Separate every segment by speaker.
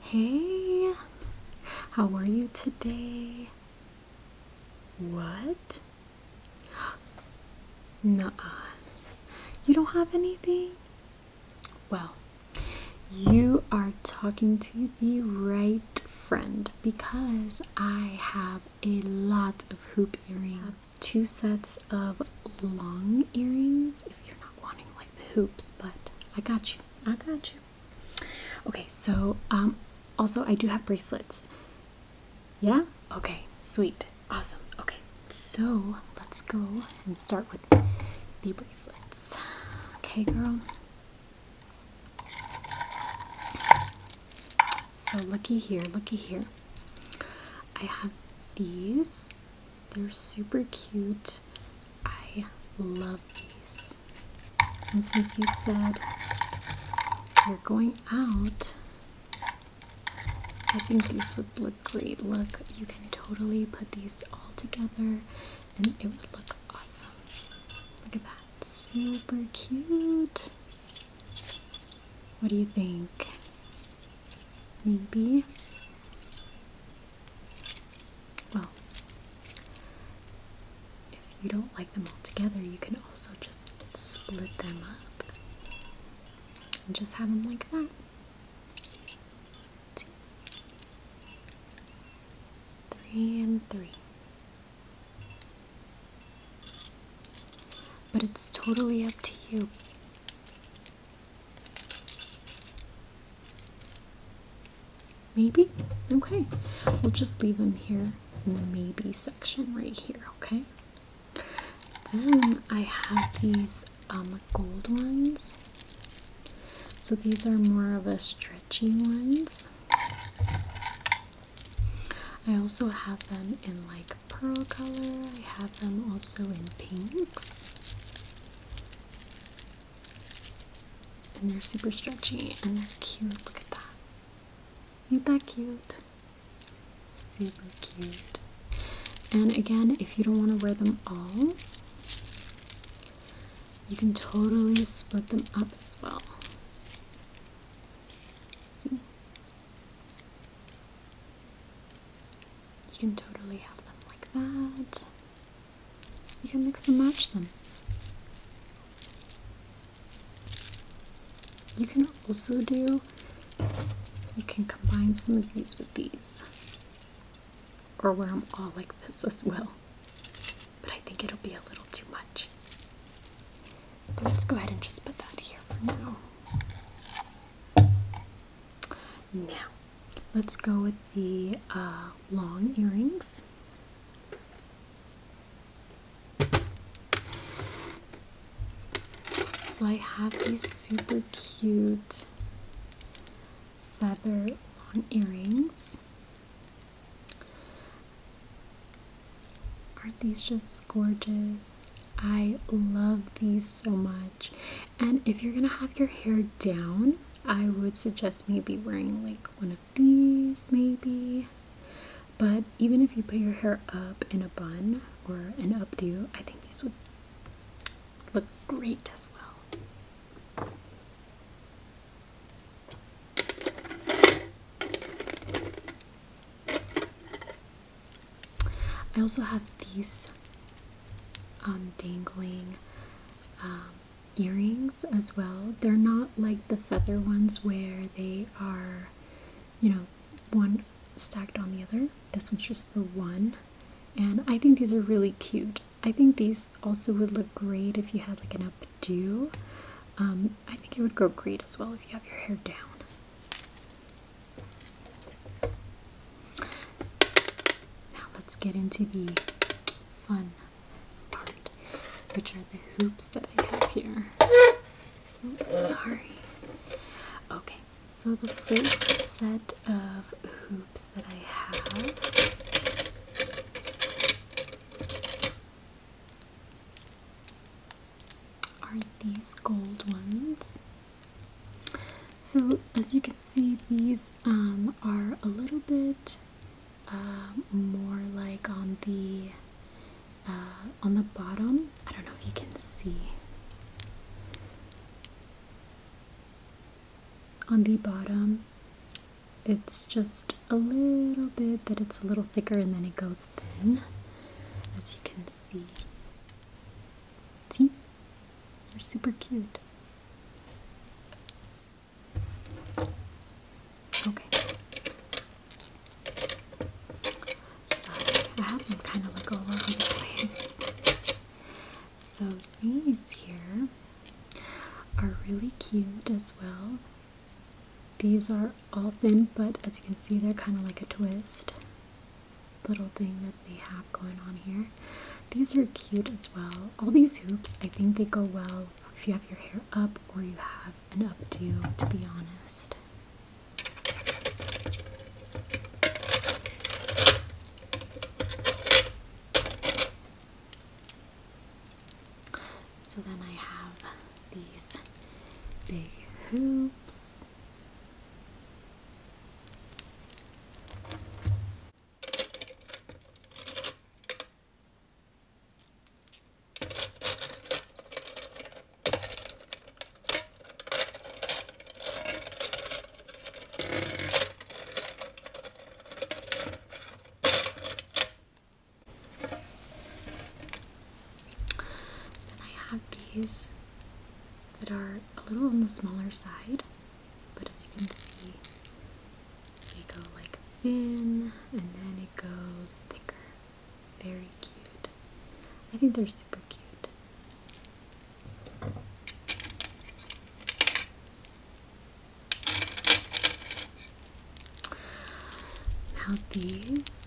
Speaker 1: Hey, how are you today? What? Nah, You don't have anything? Well, you are talking to the right friend because I have a lot of hoop earrings. Two sets of long earrings if you're not wanting like the hoops, but I got you. I got you. Okay, so um, also I do have bracelets. Yeah? Okay, sweet. Awesome. Okay, so let's go and start with the bracelets. Okay, girl. So looky here, looky here. I have these they're super cute. I love these. And since you said you're going out, I think these would look great. Look, you can totally put these all together and it would look awesome. Look at that. Super cute. What do you think? Maybe well, if you don't like them all together, you can also just split them up and just have them like that. Three and three. But it's totally up to you. Maybe? Okay. We'll just leave them here in the maybe section right here, okay? Then I have these um, gold ones. So these are more of a stretchy ones. I also have them in like pearl color. I have them also in pinks. And they're super stretchy and they're cute. Look at that. Ain't that cute? Super cute. And again, if you don't want to wear them all, you can totally split them up as well. You can totally have them like that. You can mix and match them. You can also do, you can combine some of these with these. Or wear them all like this as well. But I think it'll be a little too much. let's go ahead and just put that here for now. Now, Let's go with the uh, long earrings. So I have these super cute feather long earrings. Aren't these just gorgeous? I love these so much. And if you're gonna have your hair down, I would suggest maybe wearing like one of these, maybe. But even if you put your hair up in a bun or an updo, I think these would look great as well. I also have these um, dangling um, earrings as well. They're not like the feather ones where they are, you know, one stacked on the other. This one's just the one. And I think these are really cute. I think these also would look great if you had like an updo. Um, I think it would go great as well if you have your hair down. Now let's get into the fun which are the hoops that I have here. sorry. Okay, so the first set of hoops that I have are these gold ones. So as you can see, these um, are a little bit um, more like on the uh, on the bottom. I don't know if you can see. On the bottom, it's just a little bit that it's a little thicker and then it goes thin, as you can see. See? They're super cute. Okay. Sorry, I had them kind of look over the place. So these here are really cute as well. These are all thin, but as you can see, they're kind of like a twist little thing that they have going on here. These are cute as well. All these hoops, I think they go well if you have your hair up or you have an updo, to be honest. So then I have these big hoops. Then I have these that are a little on the smaller side, but as you can see, they go like thin and then it goes thicker. Very cute. I think they're super cute. Now these,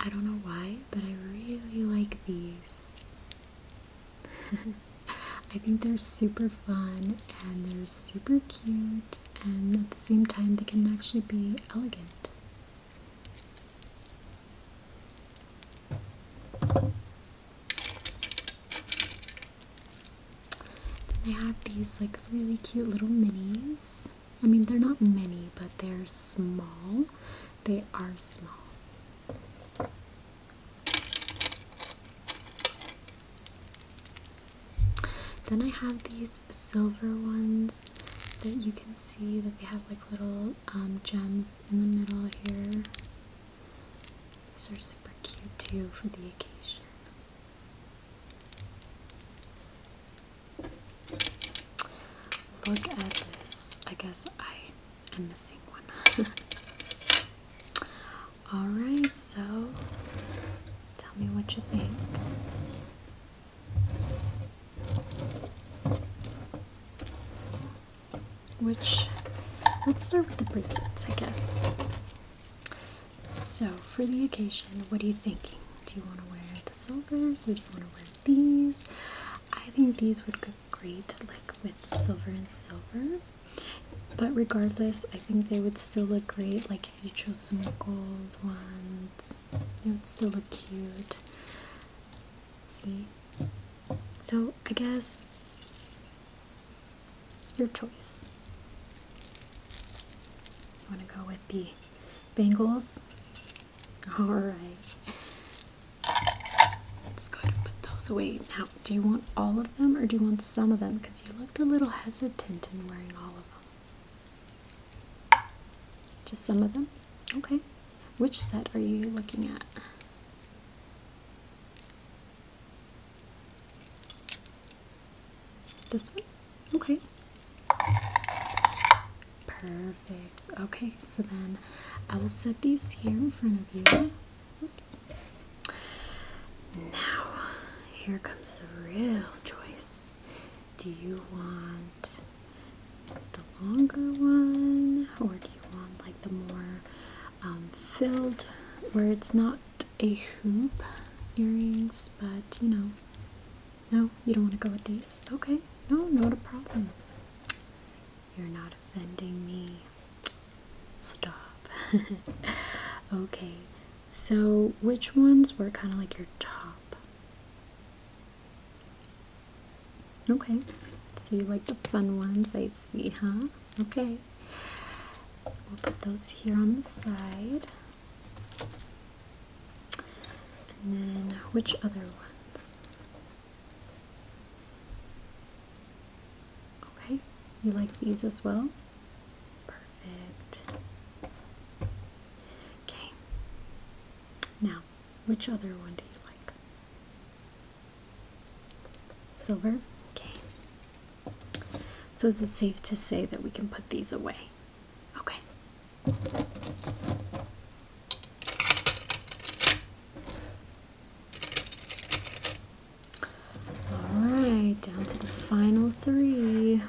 Speaker 1: I don't know why, but I really like these. I think they're super fun and they're super cute, and at the same time, they can actually be elegant. Then I have these like really cute little minis. I mean, they're not mini, but they're small. They are small. Then I have these silver ones that you can see that they have like little um, gems in the middle here. These are super cute too for the occasion. Look at this. I guess I am missing one. Alright, so tell me what you think. Which, let's start with the bracelets, I guess. So, for the occasion, what are you thinking? Do you want to wear the silvers or do you want to wear these? I think these would look great, like with silver and silver. But regardless, I think they would still look great. Like if you chose some gold ones, they would still look cute. See? So I guess your choice. You want to go with the bangles? Alright. Let's go ahead and put those away now. Do you want all of them or do you want some of them? Because you looked a little hesitant in wearing all of them. Just some of them? Okay. Which set are you looking at? This one? Okay. Perfect. Okay, so then I will set these here in front of you. Now, here comes the real choice. Do you want the longer one, or do you want like the more um, filled, where it's not a hoop earrings, but you know, no, you don't want to go with these. Okay, no, not a problem. You're not offending me. Stop. okay, so which ones were kind of like your top? Okay, so you like the fun ones, I see, huh? Okay, we'll put those here on the side. And then which other ones? Okay, you like these as well? Perfect. Okay. Now, which other one do you like? Silver? Okay. So is it safe to say that we can put these away? Okay. All right, down to the final three.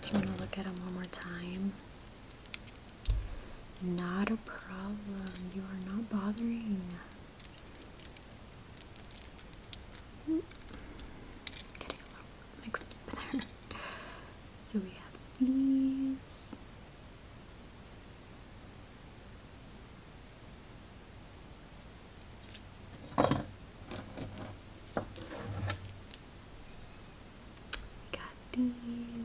Speaker 1: Just want to look at them one more time. Not a problem. You are not bothering. Hmm. Getting a little mixed up there. So we have these. Got these.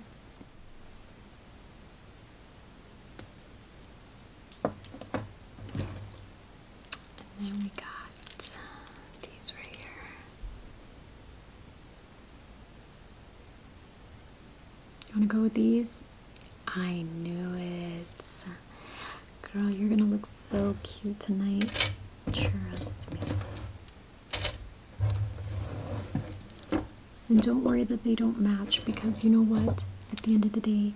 Speaker 1: And then we got uh, these right here. You want to go with these? I knew it. Girl, you're going to look so cute tonight. Trust me. And don't worry that they don't match because you know what? At the end of the day,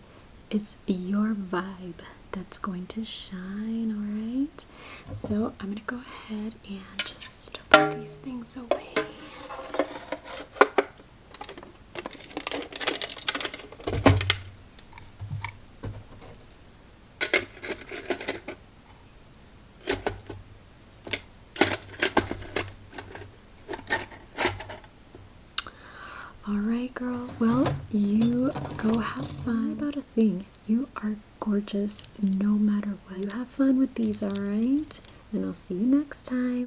Speaker 1: it's your vibe that's going to shine, alright? So I'm going to go ahead and just put these things away. All right, girl. Well, you go have fun. about a thing. You are gorgeous no matter what. You have fun with these, all right? And I'll see you next time.